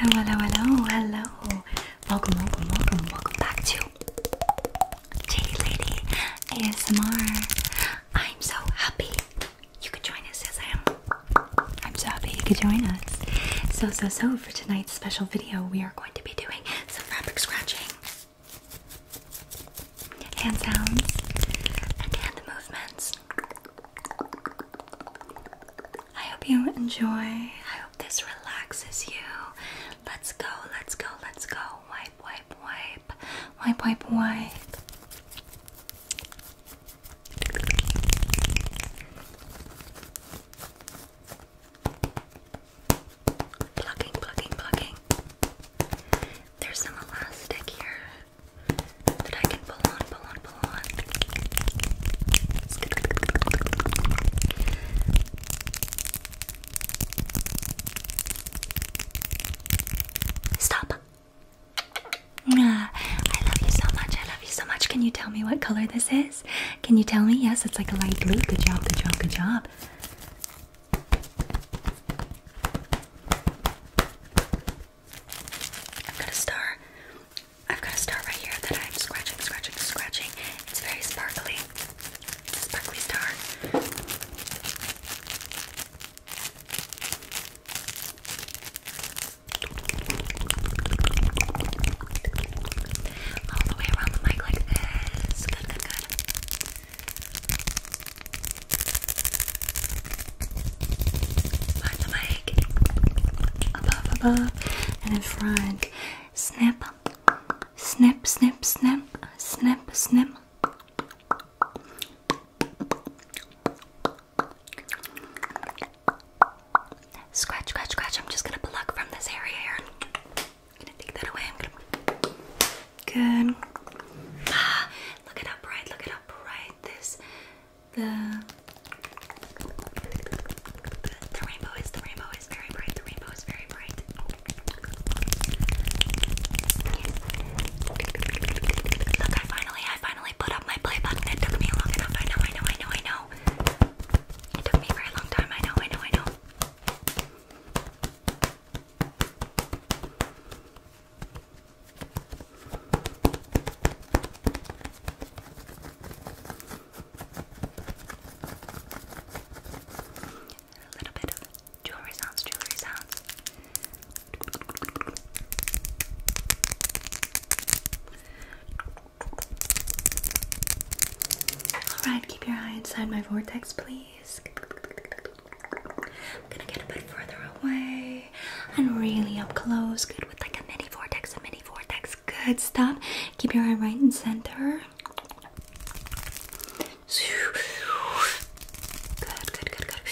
Hello, hello, hello, hello. Welcome, welcome, welcome, welcome back to J Lady ASMR. I'm so happy you could join us as I am. I'm so happy you could join us. So, so, so, for tonight's special video, we are going to be doing some fabric scratching, Hands down, and hand movements. I hope you enjoy. I hope this relaxes you. Let's go, let's go, let's go. Wipe, wipe, wipe. Wipe, wipe, wipe. Plucking, plucking, plucking. There's some elastic here that I can pull on, pull on, pull ah, I love you so much. I love you so much. Can you tell me what color this is? Can you tell me? Yes, it's like a light blue. Good job, good job, good job. I've got a star. I've got a star right here that I'm scratching, scratching, scratching. It's very sparkly. sparkly star. All the way around the mic like this. Good, good. Find the mic above, above, and in front. Snap, snap, snap, snap, snap, snip. Scratch, scratch, scratch. I'm just gonna pluck from this area here. gonna take that away. Good. Ah, look it up Look it up This the the rainbow is the rainbow is very bright. The rainbow is very bright. Look, I finally, I finally put up my play button. It took me long enough. I know, I know, I know, I know. It took me very long time. I know, I know, I know. A little bit of jewelry sounds, jewelry sounds. Alright, keep your eye inside my vortex, please. I'm gonna get a bit further away and really up close. Good with like a mini vortex, a mini vortex. Good stuff. Keep your eye right in center. Good, good, good, good.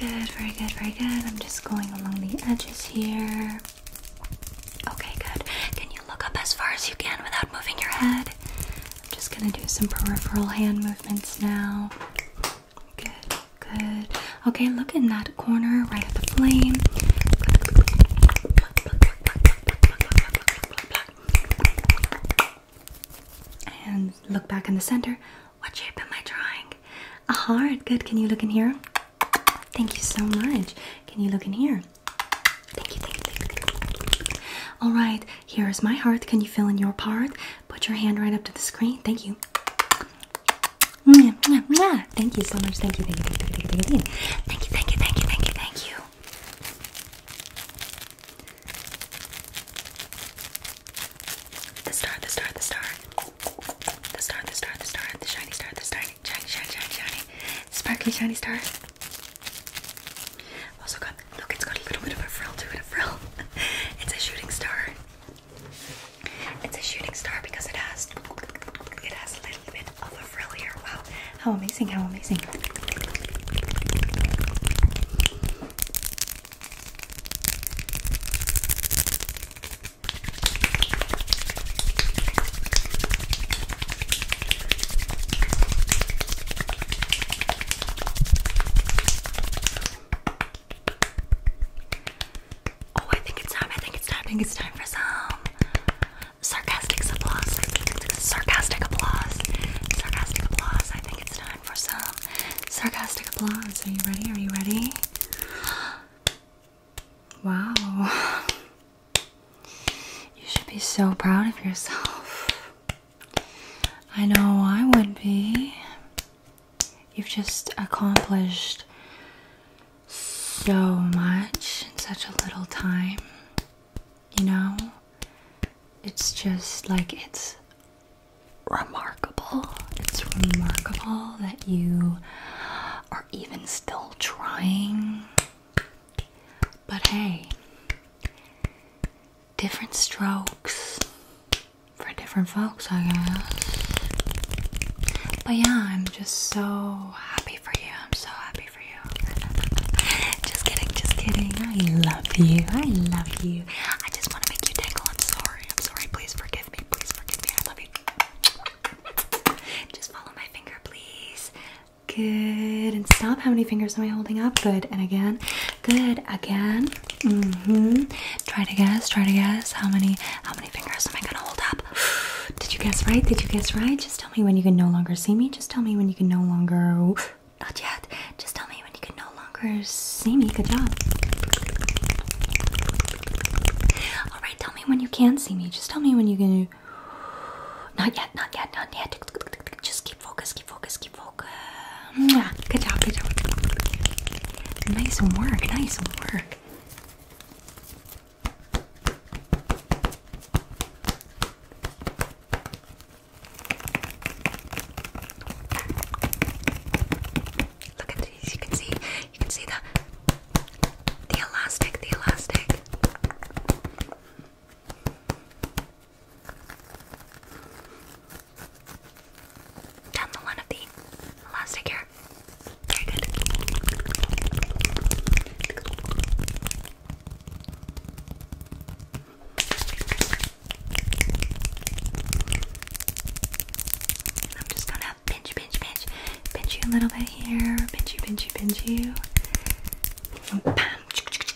Good, very good, very good. I'm just going along the edges here. Okay, good. Can you look up as far as you can without moving your head? I'm just gonna do some peripheral hand movements now. Good, good. Okay, look in that corner right at the flame. And look back in the center. What shape am I drawing? A heart. Good. Can you look in here? Thank you so much. Can you look in here? Thank you, All right, here is my heart. Can you fill in your part? Put your hand right up to the screen. Thank you. Thank you so much. Thank you. Thank you. Thank you. Thank you. Thank you. Thank you. Thank you. Thank you. Thank you. The star. The star. The star. The star. The star. The star. The shiny star. The shiny, shiny, shiny, shiny, shiny, sparkly, shiny star. Also got Look, it's got a little bit of a frill to it, a frill. it's a shooting star. It's a shooting star because it has it has a little bit of a frill here. Wow. How amazing, how amazing. Oh, I think it's time. I think it's time. I think it's time for some sarcastic applause. Sarcastic applause. Sarcastic applause. I think it's time for some sarcastic applause. Are you ready? Are you ready? Wow. You should be so proud of yourself. I know I would be. You've just accomplished so much in such a little time. You know? It's just like it's remarkable. It's remarkable that you are even still trying. But hey, different strokes for different folks, I guess. But yeah, I'm just so happy for you. I'm so happy for you. just kidding, just kidding. I love you. I love you. I just want to make you tingle. I'm sorry. I'm sorry. Please forgive me. Please forgive me. I love you. just follow my finger, please. Good. And stop. How many fingers am I holding up? Good. And again. Good. Again. Mm-hmm. Try to guess, try to guess. How many how many fingers am I gonna hold up? Did you guess right? Did you guess right? Just tell me when you can no longer see me. Just tell me when you can no longer not yet. Just tell me when you can no longer see me. Good job. Alright, tell me when you can see me. Just tell me when you can not yet, not yet, not yet. Just keep focus, focus, keep focus. Yeah. Good job, good job. Nice work, nice work. Look at these, you can see, you can see the the elastic, the elastic. Done the one of the elastic here. Very good. I'm just gonna pinch, pinch, pinch, pinch you a little bit here, pinch you, pinch you, pinch you.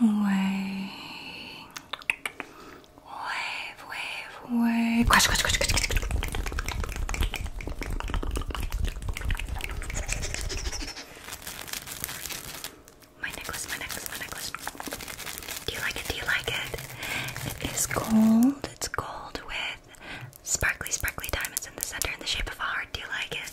Wave, wave, wave, wave. Crash, crash, Do you like it? Do you like it? It is gold. It's gold with sparkly, sparkly diamonds in the center in the shape of a heart. Do you like it?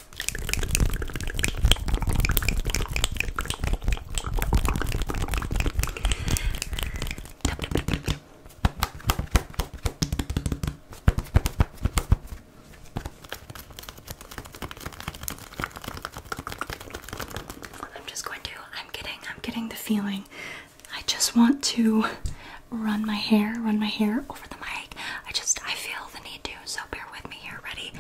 I'm just going to, I'm getting, I'm getting the feeling. I just want to run my hair, run my hair over the mic. I just, I feel than you so bear with me here. Ready?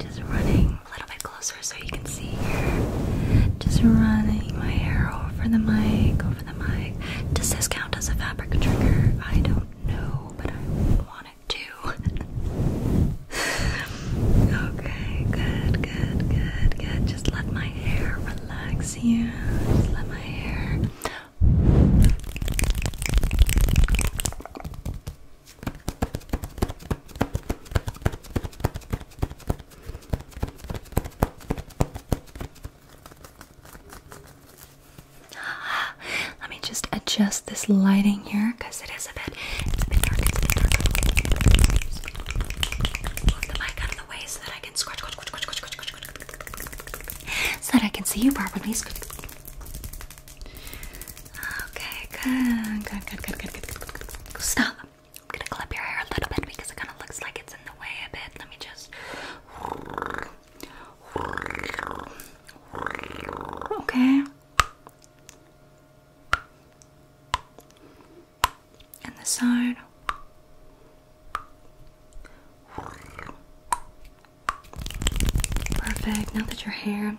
Just running a little bit closer so you can see here. Just running my hair over the mic, over the mic. Does this count as a fabric trigger? I don't know, but I want it to. okay, good, good, good, good. Just let my hair relax here. Just let my hair Let me just adjust this lighting here because it is a bit, dark so that I can see you properly. Okay, good, good, good, good, good, good, Stop. I'm gonna clip your hair a little bit because it kind of looks like it's in the way a bit. Let me just. Okay. And the side. Perfect. Now that your hair, now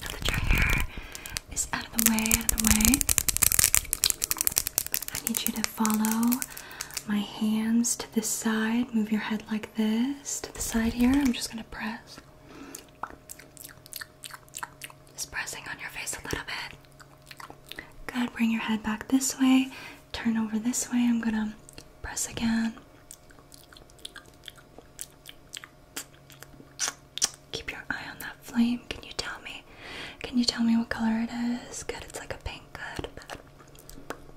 that your hair is out of the way, out of the way, I need you to follow my hands to this side. Move your head like this to the side here. I'm just gonna press. Just pressing on your face a little bit. Good. Bring your head back this way turn over this way. I'm gonna press again. Keep your eye on that flame. Can you tell me? Can you tell me what color it is? Good, it's like a pink. Good.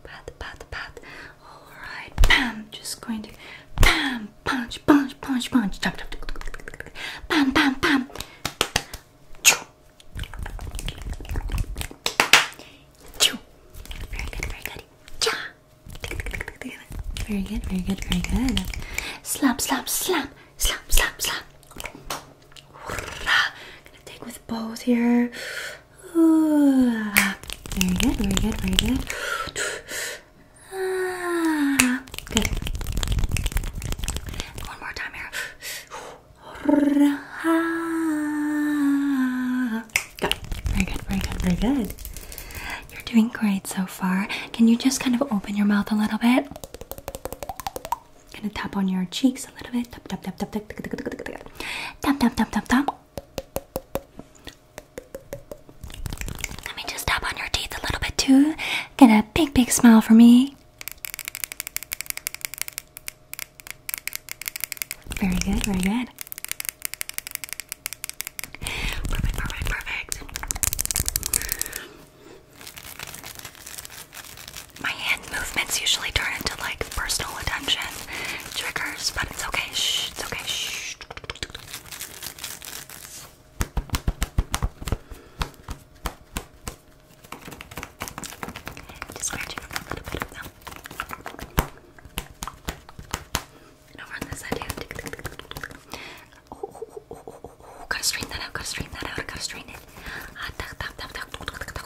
Pat, pat, pat. All right. Bam. Just going to bam. Punch, punch, punch, punch. Bam, bam, bam. Choo. Very good, very good. Cha. Very good, very good, very good. Slap, slap, slap, slap, slap, slap. Gonna take with both here. Ooh. Very good, very good, very good. Ah, good. One more time here. Good. Very good, very good, very good. You're doing great so far. Can you just kind of open your mouth a little bit? Gonna tap on your cheeks a little bit. Tap tap tap tap tap tap tap tap tap tap tap tap tap tap. Let me just tap on your teeth a little bit too. Get a big big smile for me. Very good, very good. Perfect, perfect, perfect. My hand movements usually turn into like personal attention triggers, but it's okay. it's okay. Just scratching up a little bit of them. And over on this side, Oh, oh, oh, oh, oh, gotta strain that out, gotta strain that out, gotta strain it. Ah, tuck, tuck, tuck, tuck, tuck, tuck, tuck, tuck.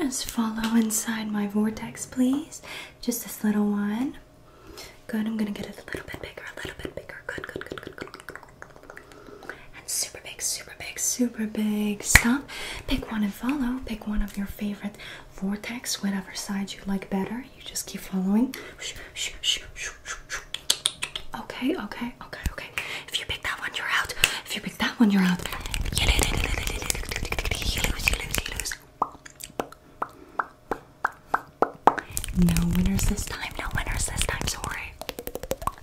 Just follow inside my vortex, please. Just this little one. Good, I'm gonna get it a little bit bigger, a little bit bigger. Good, good, good, good, good. And super big, super big, super big. Stop. Pick one and follow. Pick one of your favorite vortex, whatever side you like better. You just keep following. Okay, okay, okay, okay. If you pick that one, you're out. If you pick that one, you're out. No winners this time, no winners this time, sorry.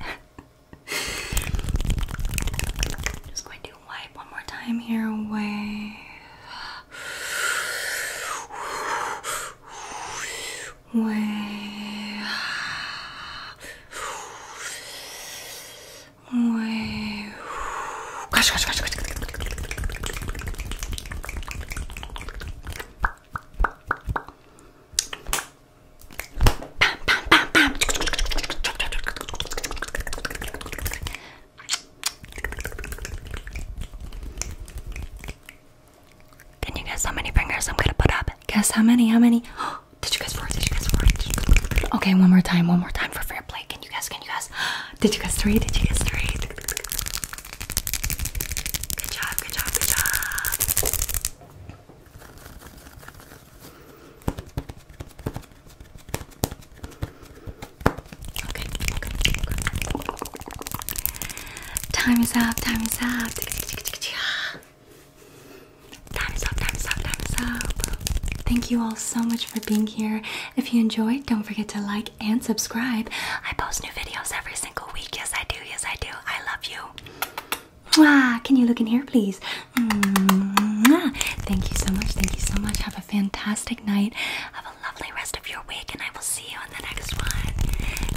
just going to wipe one more time here away. Way. Way. Can you guess how many fingers I'm gonna put up? Guess how many? How many? Did you guess four? Did you guess four? Okay, one more time. One more time for fair play. Can you guess? Can you guess? Did you guess three? Did you guess three? Good job, good job, good job. Okay, okay, okay. Time is up, time is up. Time is up, time is up, time is up. Thank you all so much for being here. If you enjoyed, don't forget to like and subscribe. I post new videos every single week. Yes, I do. Yes, I do. I love you. Mwah. Can you look in here, please? Thank you so much. Thank you so much. Have a fantastic night. Have a lovely rest of your week, and I will see you in the next one.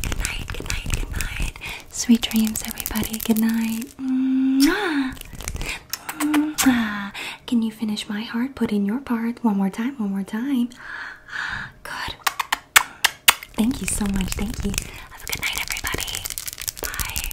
Good night. Good night. Good night. Sweet dreams, everybody. Good night. Can you finish my heart? Put in your part. One more time. One more time. Good. Thank you so much. Thank you. Have a good night, everybody. Bye.